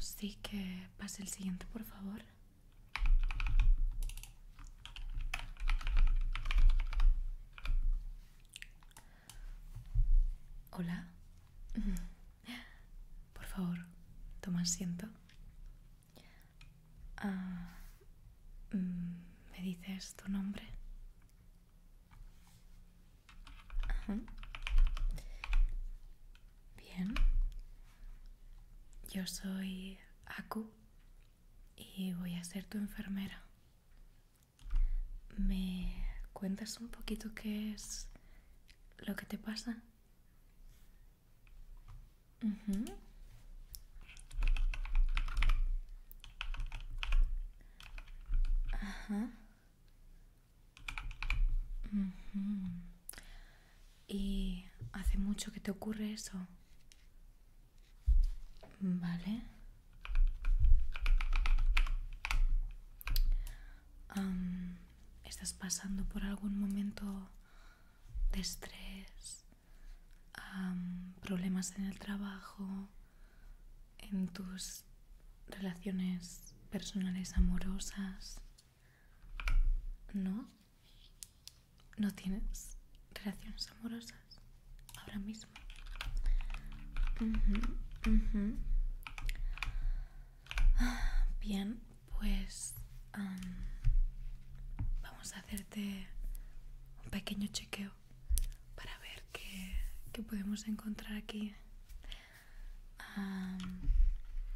sí que pase el siguiente, por favor. Hola. Por favor, toma asiento. Ah, mm, ¿Me dices tu nombre? Bien. Yo soy Aku y voy a ser tu enfermera. ¿Me cuentas un poquito qué es lo que te pasa. Ajá. ¿Y hace mucho que te ocurre eso? Vale estás pasando por algún momento de estrés, problemas en el trabajo, en tus relaciones personales amorosas. ¿No? ¿No tienes relaciones amorosas ahora mismo? Bien, pues vamos a hacerte un pequeño chequeo para ver qué, podemos encontrar aquí.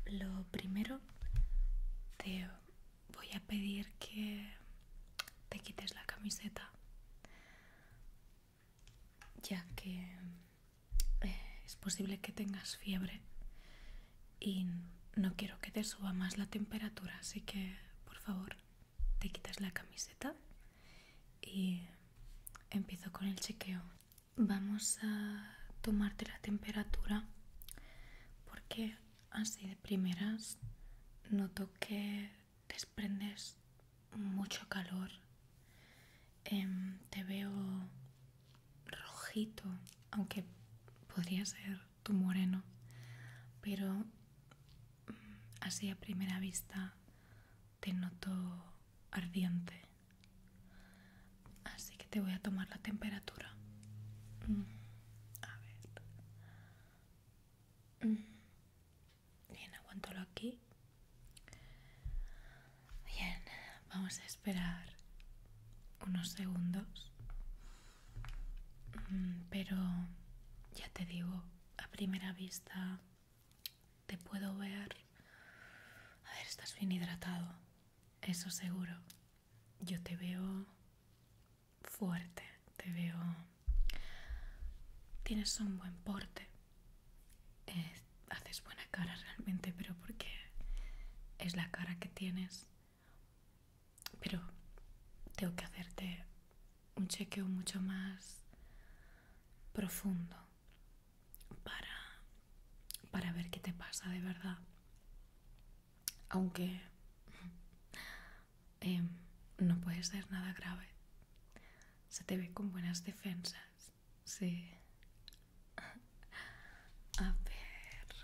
lo primero, te voy a pedir que te quites la camiseta, ya que es posible que tengas fiebre y no quiero que te suba más la temperatura, así que por favor te quitas la camiseta y empiezo con el chequeo. Vamos a tomarte la temperatura porque así de primeras noto que desprendes mucho calor. Em, te veo rojito, aunque podría ser tu moreno, pero mm, así a primera vista te noto ardiente. Así que te voy a tomar la temperatura. Mm, mm, bien, aguántalo aquí. Bien, vamos a esperar unos segundos. Mm, pero ya te digo, a primera vista te puedo ver... A ver, estás bien hidratado, eso seguro. Yo te veo fuerte, te veo... Tienes un buen porte haces buena cara realmente, pero porque es la cara que tienes. Pero tengo que hacerte un chequeo mucho más profundo para, ver qué te pasa de verdad. Aunque eh, no puede ser nada grave. Se te ve con buenas defensas. Sí. A ver.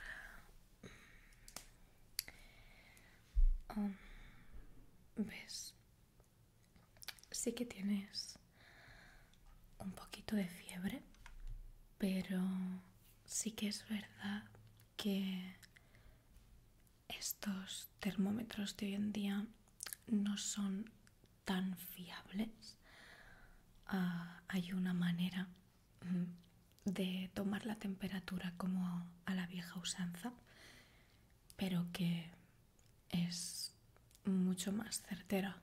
Um, ¿Ves? Sí que tienes un poquito de fiebre, pero sí que es verdad que estos termómetros de hoy en día no son tan fiables, ah, hay una manera mm, de tomar la temperatura como a la vieja usanza, pero que es mucho más certera.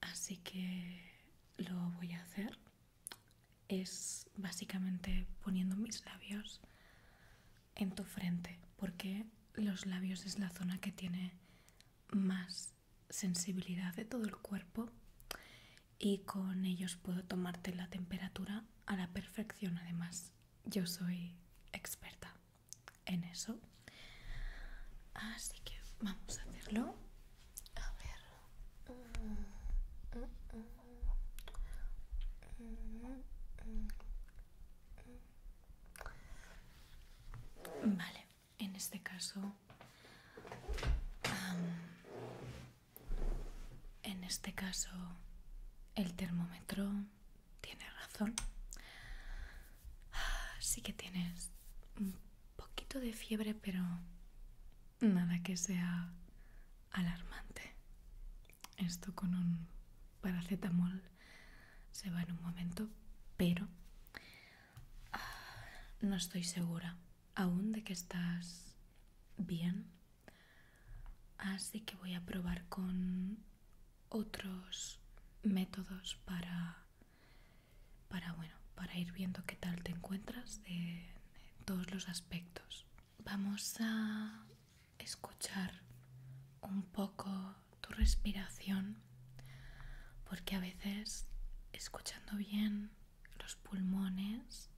Así que lo voy a hacer. Es básicamente poniendo mis labios en tu frente, porque los labios es la zona que tiene más sensibilidad de todo el cuerpo y con ellos puedo tomarte la temperatura a la perfección además yo soy experta en eso así que vamos a hacerlo a ver vale en este caso, en este caso, el termómetro tiene razón. Ah, sí que tienes un poquito de fiebre, pero nada que sea alarmante. Esto con un paracetamol se va en un momento, pero Ah, no estoy segura aún de que estás bien. Así que voy a probar con otros métodos para, ir viendo qué tal te encuentras en todos los aspectos. Vamos a escuchar un poco tu respiración, porque a veces escuchando bien los pulmones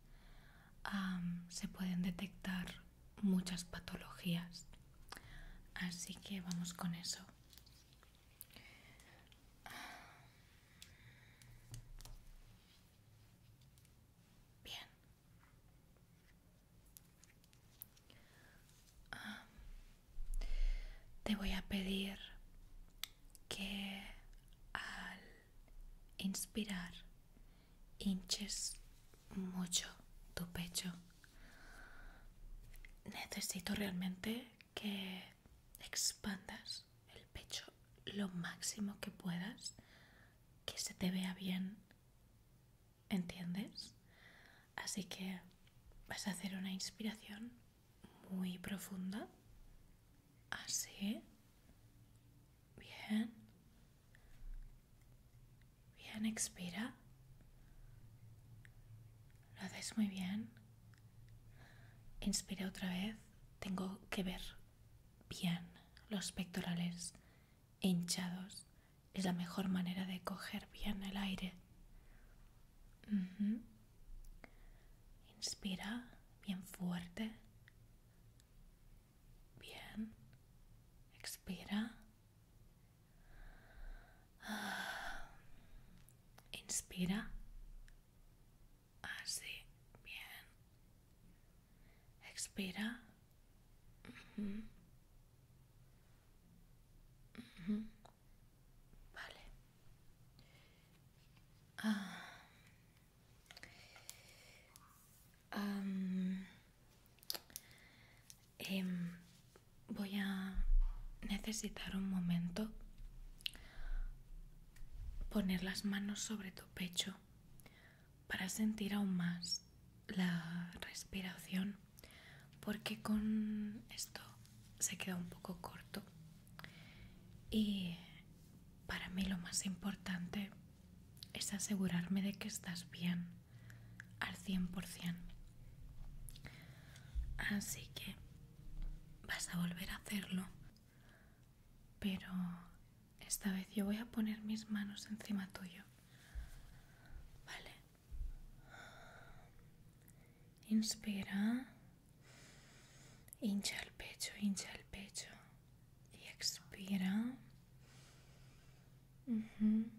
se pueden detectar muchas patologías. Así que vamos con eso. Bien te voy a pedir que al inspirar hinches mucho tu pecho. Necesito realmente que expandas el pecho lo máximo que puedas, que se te vea bien, ¿entiendes? Así que vas a hacer una inspiración muy profunda. Así. Bien. Bien, expira. Lo haces muy bien. Inspira otra vez. Tengo que ver bien los pectorales hinchados. Es la mejor manera de coger bien el aire. Inspira bien fuerte. Bien. Expira. Inspira. Así. Bien. Expira. Ah. Em, voy a necesitar un momento poner las manos sobre tu pecho para sentir aún más la respiración porque con esto se queda un poco corto y para mí lo más importante es asegurarme de que estás bien al cien por 100%. Así que vas a volver a hacerlo, pero esta vez yo voy a poner mis manos encima tuyo. Vale. Inspira. Hincha el pecho, hincha el pecho y expira. Mhm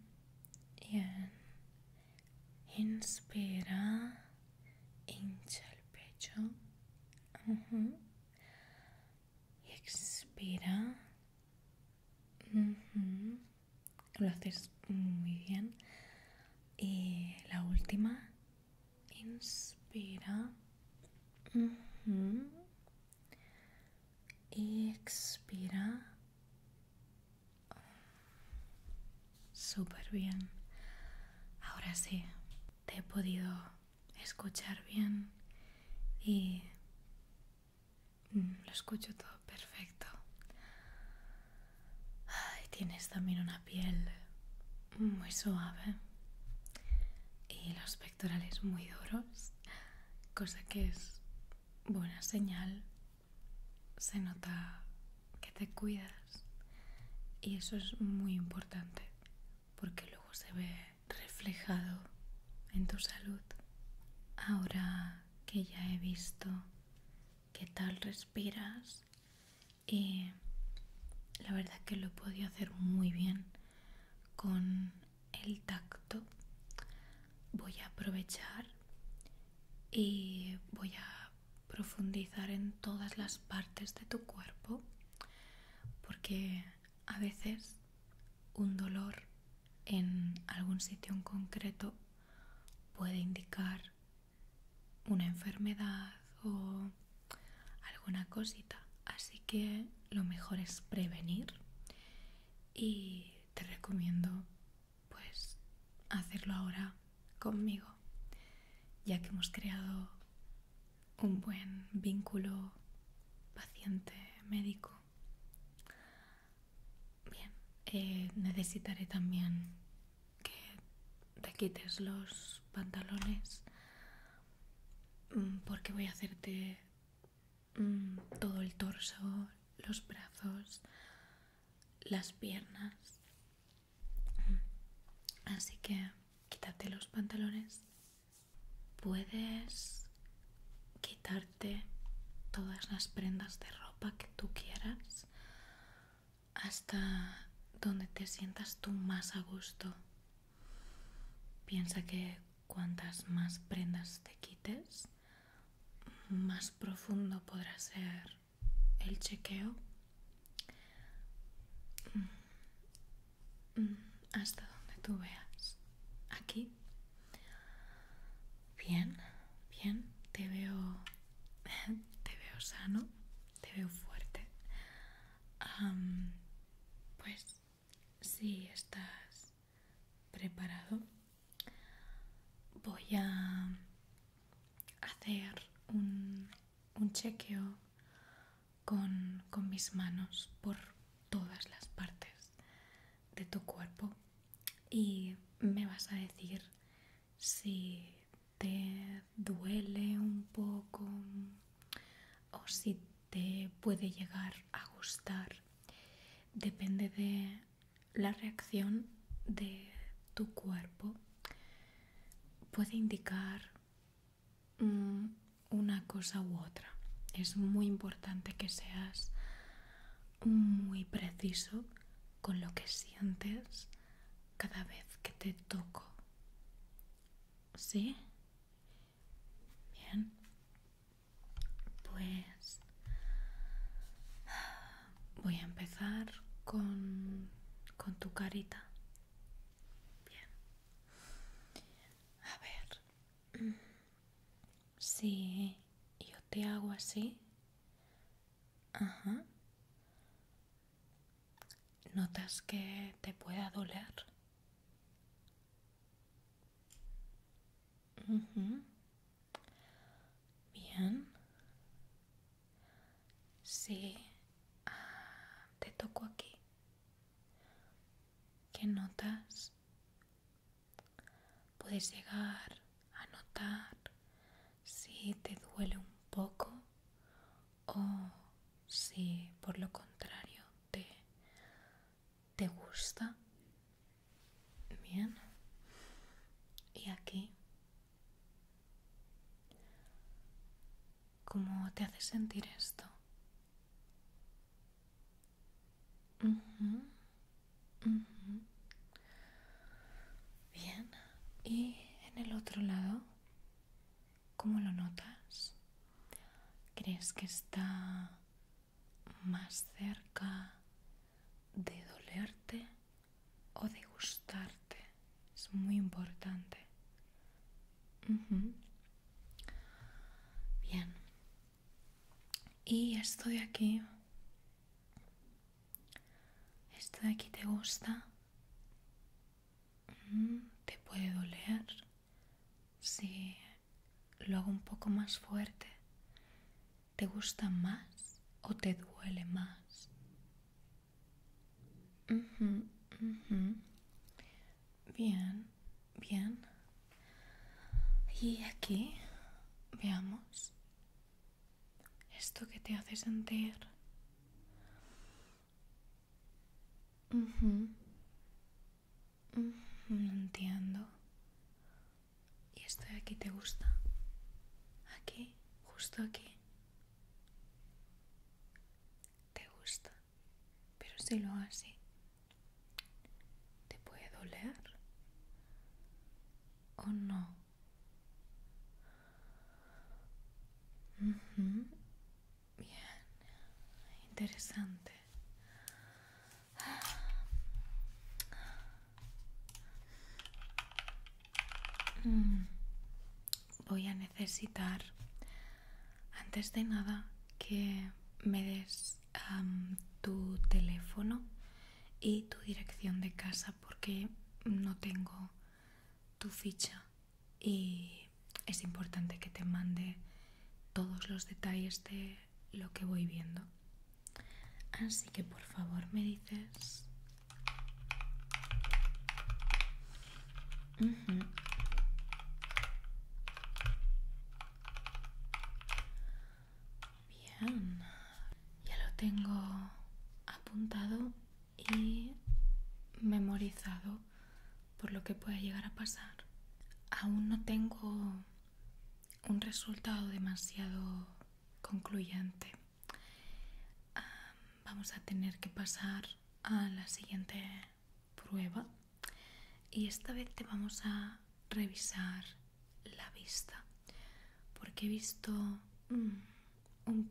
Inspira, hincha el pecho. Y expira. Lo haces muy bien y la última inspira y expira súper bien ahora sí te he podido escuchar bien y lo escucho todo perfecto tienes también una piel muy suave y los pectorales muy duros, cosa que es buena señal. Se nota que te cuidas y eso es muy importante porque luego se ve reflejado en tu salud. Ahora que ya he visto qué tal respiras y la verdad que lo he podido hacer muy bien con el tacto voy a aprovechar y voy a profundizar en todas las partes de tu cuerpo porque a veces un dolor en algún sitio en concreto puede indicar una enfermedad o alguna cosita. Así que lo mejor es prevenir y te recomiendo pues hacerlo ahora conmigo, ya que hemos creado un buen vínculo paciente-médico. Bien, eh, necesitaré también que te quites los pantalones mm, porque voy a hacerte mm, todo el torso, los brazos, las piernas. Mm. Así que quítate los pantalones. Puedes quitarte todas las prendas de ropa que tú quieras hasta donde te sientas tú más a gusto. Piensa que cuantas más prendas te quites, más profundo podrá ser el chequeo. Mm, mm, hasta donde tú veas. Aquí. Bien, bien, te veo te veo sano te veo fuerte. pues si estás preparado, voy a hacer un, chequeo con mis manos por todas las partes de tu cuerpo y me vas a decir si te duele un poco o si te puede llegar a gustar. Depende de la reacción de tu cuerpo. Puede indicar mm, una cosa u otra. Es muy importante que seas muy preciso con lo que sientes cada vez que te toco. ¿Sí? Bien. Pues voy a empezar con, con tu carita. Bien. A ver. Si yo te hago así. Ajá. ¿Notas que te pueda doler? Bien. Sí. Ah, te toco aquí. ¿Qué notas? Puedes llegar a notar si te duele un poco o si por lo contrario te, te gusta. Bien. Y aquí, ¿cómo te hace sentir esto? Bien. ¿Y en el otro lado? ¿Cómo lo notas? ¿Crees que está más cerca de dolerte o de gustarte? Es muy importante. Bien. Y esto de aquí. ¿Esto de aquí te gusta? Mm, ¿Te puede doler si lo hago un poco más fuerte? ¿Te gusta más o te duele más? Bien, bien. Y aquí, veamos, esto que te hace sentir no entiendo. ¿Y esto de aquí te gusta? ¿Aquí? ¿Justo aquí? Te gusta. Pero si lo hace ¿te puede doler? ¿O no? Bien, interesante. Mm. Voy a necesitar, antes de nada, que me des tu teléfono y tu dirección de casa porque no tengo tu ficha y es importante que te mande todos los detalles de lo que voy viendo. Así que por favor me dices... Bien, ya lo tengo apuntado y memorizado por lo que pueda llegar a pasar. Aún no tengo un resultado demasiado concluyente. vamos a tener que pasar a la siguiente prueba y esta vez te vamos a revisar la vista porque he visto mm, un,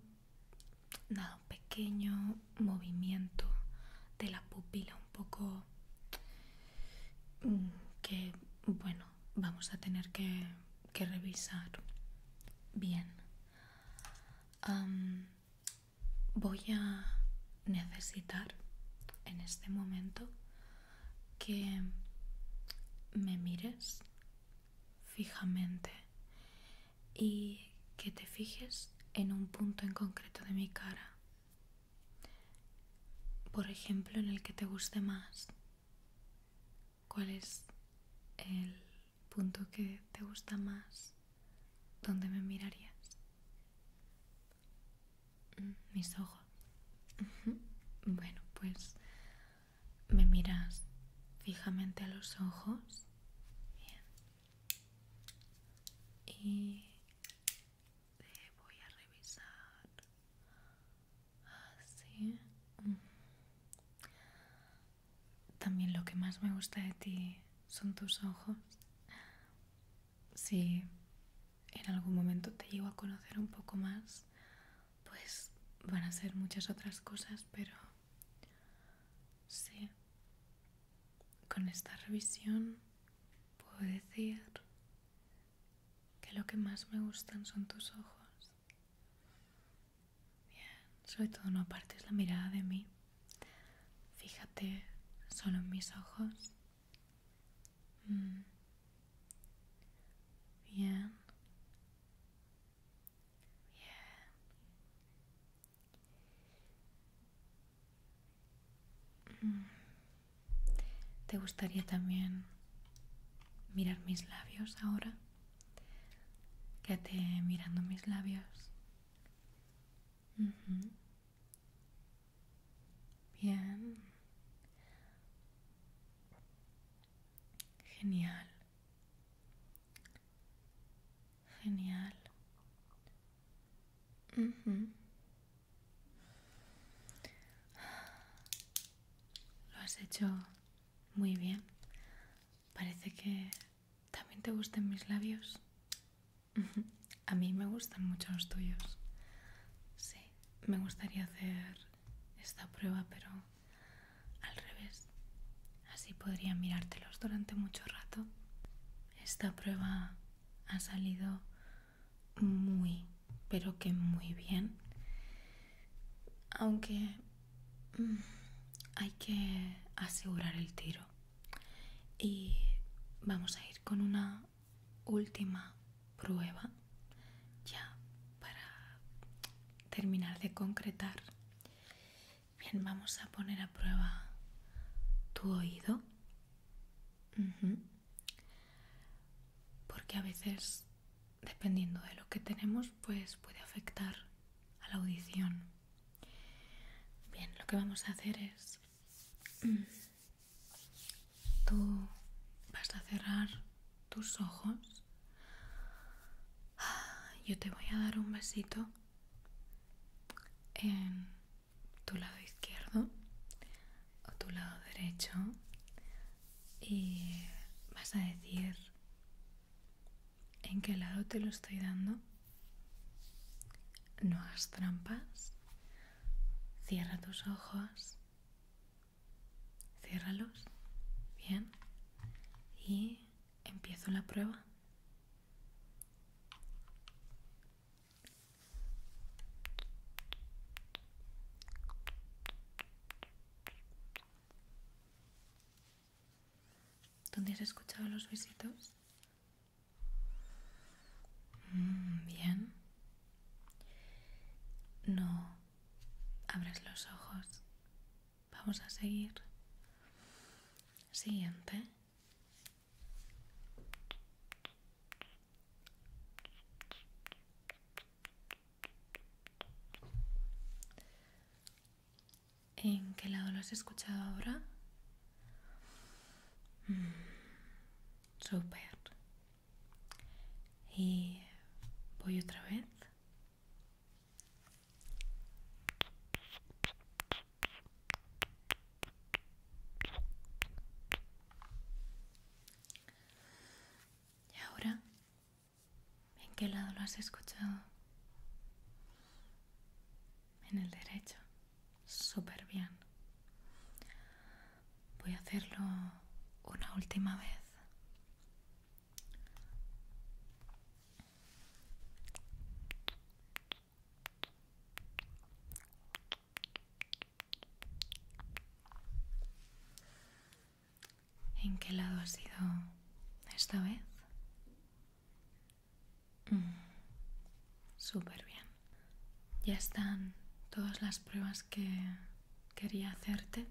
pequeño movimiento de la pupila, un poco mm, que, bueno, vamos a tener que, revisar bien. voy a necesitar en este momento que me mires fijamente y que te fijes en un punto en concreto de mi cara, por ejemplo, en el que te guste más. ¿Cuál es el punto que te gusta más? ¿Dónde me mirarías? Mm, mis ojos. Bueno, pues me miras fijamente a los ojos. Bien y te voy a revisar así mm. también lo que más me gusta de ti son tus ojos si en algún momento te llego a conocer un poco más pues van a ser muchas otras cosas pero Sí, con esta revisión puedo decir que lo que más me gustan son tus ojos. Bien, sobre todo no apartes la mirada de mí. Fíjate solo en mis ojos. Mm. Bien. Bien. Mm. ¿Te gustaría también mirar mis labios ahora? Quédate mirando mis labios. Bien. Genial. Genial. Lo has hecho muy bien. Parece que también te gustan mis labios. A mí me gustan mucho los tuyos. Sí, me gustaría hacer esta prueba, pero al revés. Así podrían mirártelos durante mucho rato. Esta prueba ha salido muy, pero que muy bien. Aunque mm, hay que asegurar el tiro. Y vamos a ir con una última prueba ya para terminar de concretar Bien, vamos a poner a prueba tu oído. Porque a veces, dependiendo de lo que tenemos, pues puede afectar a la audición. Bien, lo que vamos a hacer es... Mm, tú vas a cerrar tus ojos. Ah, yo te voy a dar un besito en tu lado izquierdo o tu lado derecho y vas a decir en qué lado te lo estoy dando. No hagas trampas. Cierra tus ojos. Ciérralos. Bien. Y empiezo la prueba. ¿Dónde has escuchado los besitos? Mm, bien. No abres los ojos. Vamos a seguir. Siguiente. ¿En qué lado lo has escuchado ahora? Mm, super. Y voy otra vez. Y ahora, ¿en qué lado lo has escuchado? En el derecho. Súper bien. Voy a hacerlo una última vez. ¿En qué lado has ido esta vez? Mm, súper bien. Ya están todas las pruebas que quería hacerte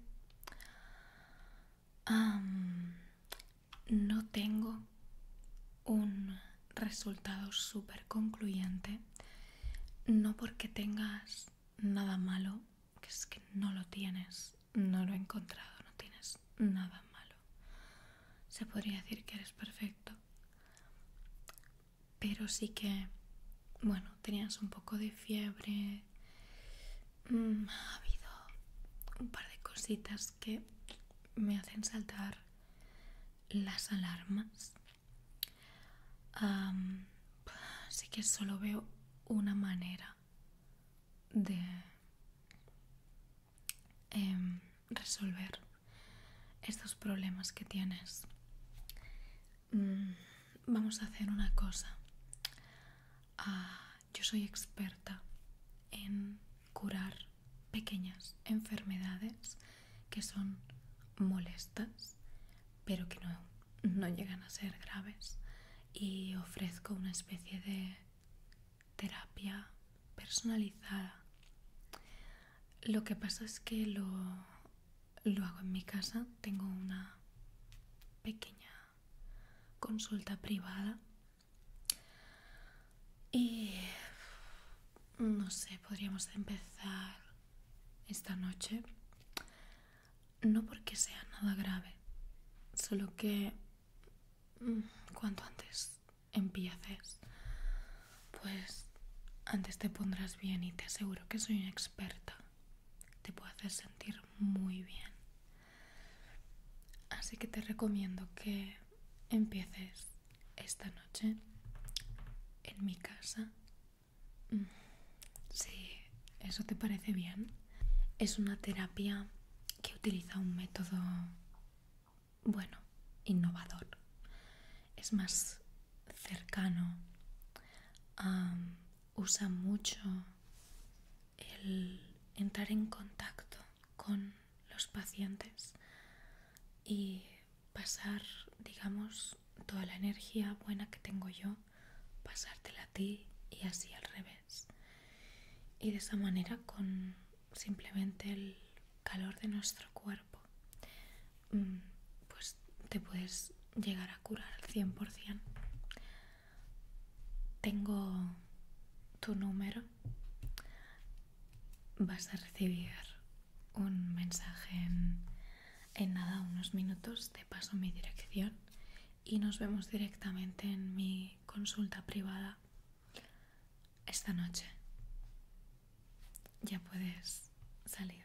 no tengo un resultado súper concluyente, no porque tengas nada malo, que es que no lo tienes, no lo he encontrado, no tienes nada malo. Se podría decir que eres perfecto, pero sí que, bueno, tenías un poco de fiebre, mm, ha habido un par de cositas que me hacen saltar las alarmas. así que solo veo una manera de em, resolver estos problemas que tienes. Mm, vamos a hacer una cosa. Ah, yo soy experta en curar pequeñas enfermedades que son molestas, pero que no, llegan a ser graves. Y ofrezco una especie de terapia personalizada. Lo que pasa es que lo hago en mi casa. Tengo una pequeña consulta privada y no sé, podríamos empezar esta noche. No porque sea nada grave, solo que mm, cuanto antes empieces, pues antes te pondrás bien y te aseguro que soy una experta. Te puedo hacer sentir muy bien. Así que te recomiendo que empieces esta noche en mi casa. Mm, si eso te parece bien. Es una terapia que utiliza un método, bueno, innovador. Es más cercano. usa mucho el entrar en contacto con los pacientes y pasar, digamos, toda la energía buena que tengo yo, pasártela a ti y así al revés. Y de esa manera, con simplemente el calor de nuestro cuerpo, mm, pues te puedes llegar a curar al 100%. Tengo tu número vas a recibir un mensaje en, nada, unos minutos, te paso mi dirección y nos vemos directamente en mi consulta privada esta noche. Ya puedes salir.